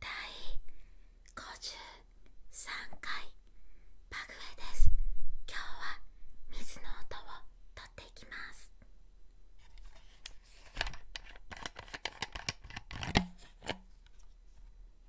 第53回パグウェです今日は水の音を取っていきます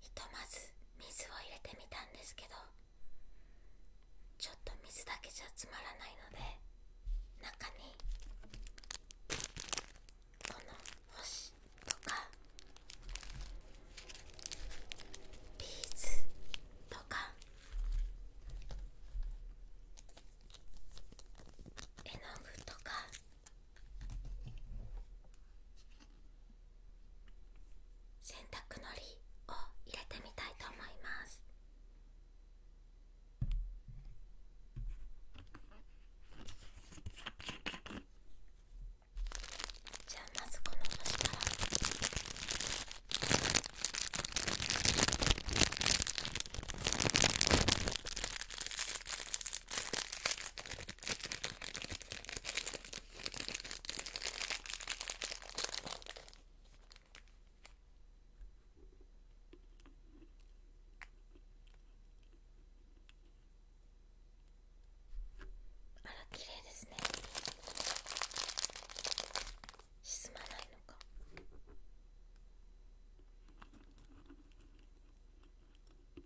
ひとまず水を入れてみたんですけどちょっと水だけじゃつまらないので中にこの星とかビーズとか絵の具とか洗濯のりを入れてみたいと思いますじゃあまずこの星からあら綺麗ですね沈まないのか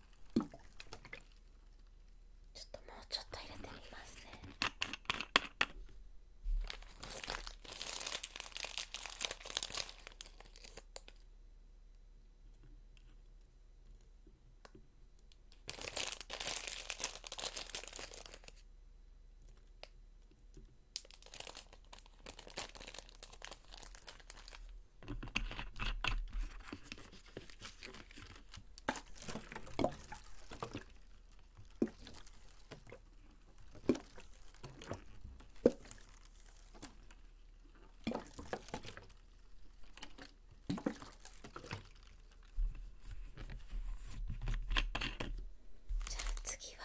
ちょっともうちょっと入れてみますねじゃあ次は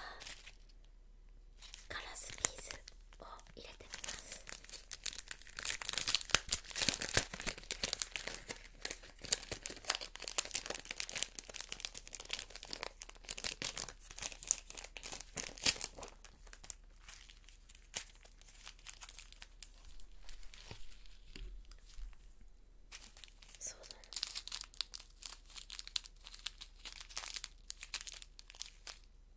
ガラスピースを入れてみますそうだ、ね、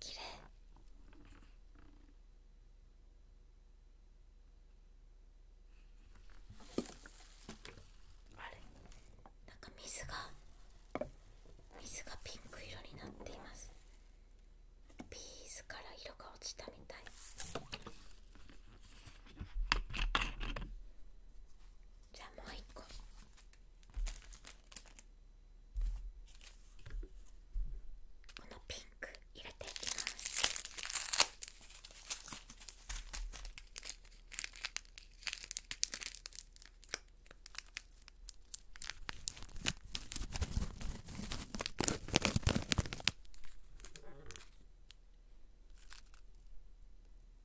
きれいあれなんか水が水がピンク色になっていますビーズから色が落ちたみたいじゃあもう一個このピンク入れていきます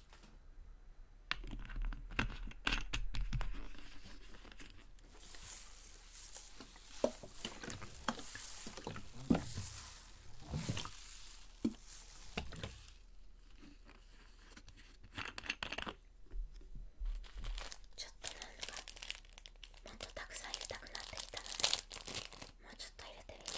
ちょっとなんかもっとたくさん入れたくなってきたのでもうちょっと入れてみます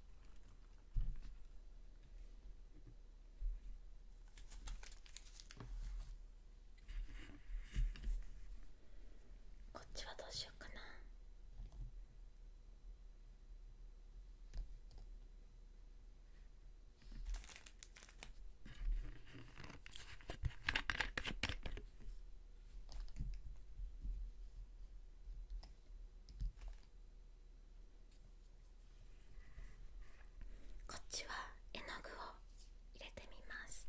こっちはどうしようかなこっちは絵の具を入れてみます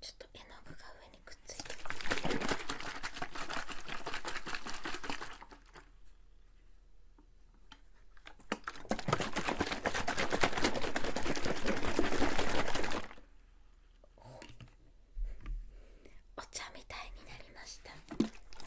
ちょっと絵の具が上にくっついてお茶みたいになりました。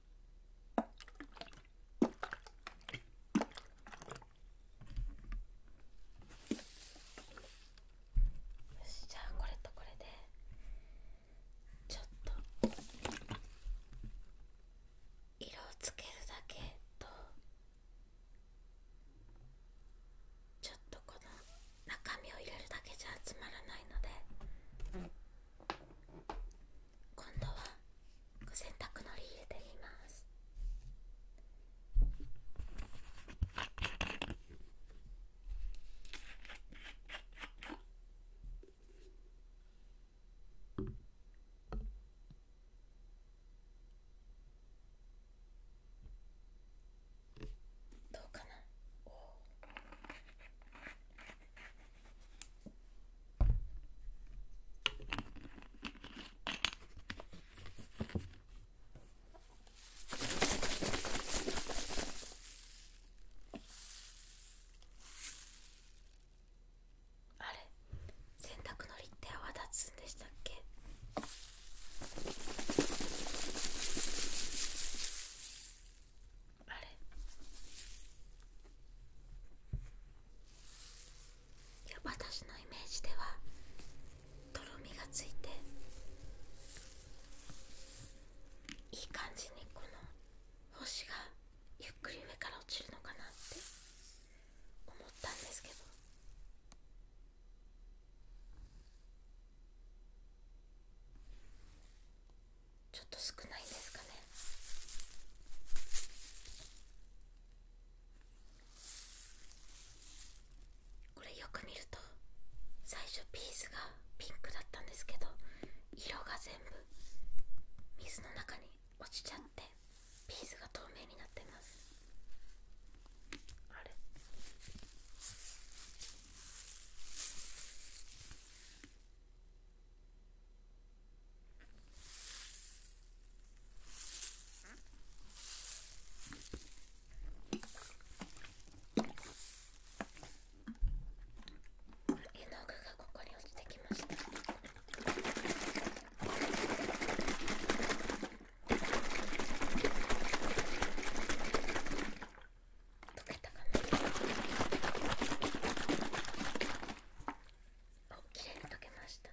よしじゃあこれとこれでちょっと色をつけるだけとちょっとこの中身を入れるだけじゃつまらないので。今度はご洗濯のり入れてみますどうかなあれ洗濯のりって泡立つんでしたっけいや私のイメージではとろみがついていい感じにこの星がゆっくり上から落ちるのかなって思ったんですけどちょっと少ないんですかねこれよく見ると最初ピースがピンクだったんですけど色が全部水の中に落ちちゃってピースが透明になってますあれ絵の具がここに落ちてきました。溶けたかなお綺麗に溶けました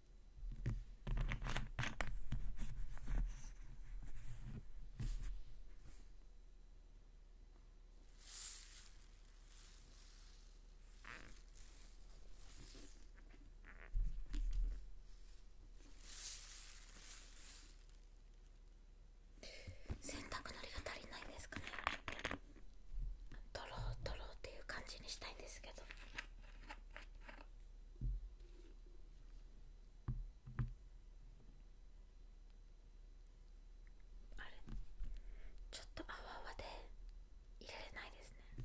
洗濯のりが足りないんですかねドロードローっていう感じにしたいんですけど。あれちょっと泡泡で入れれないですね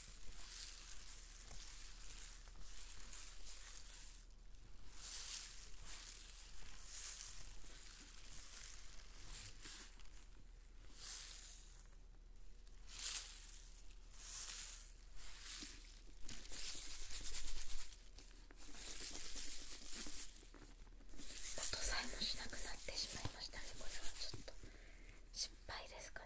さえもしなくなってしまいましたねこれはちょっと失敗ですかね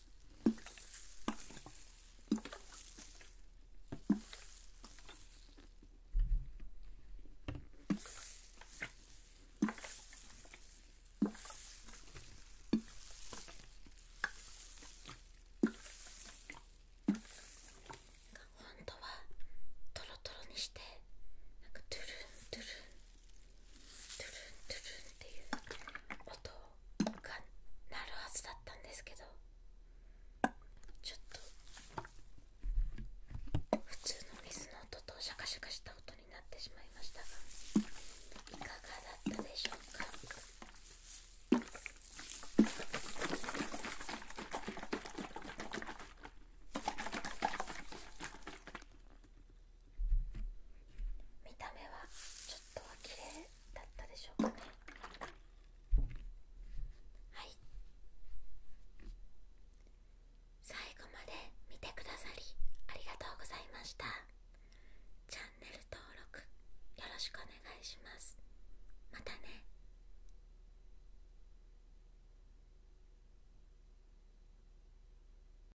本当はトロトロにしてなんかトゥルントゥルントゥルントゥルンっていう音が鳴るはずだったんですけどちょっと普通の水の音とシャカシャカした音になってしまいましたがいかがだったでしょうか見た目はちょっとは綺麗だったでしょうかねはい最後まで見てくださりありがとうございましたチャンネル登録よろしくお願いしますまたね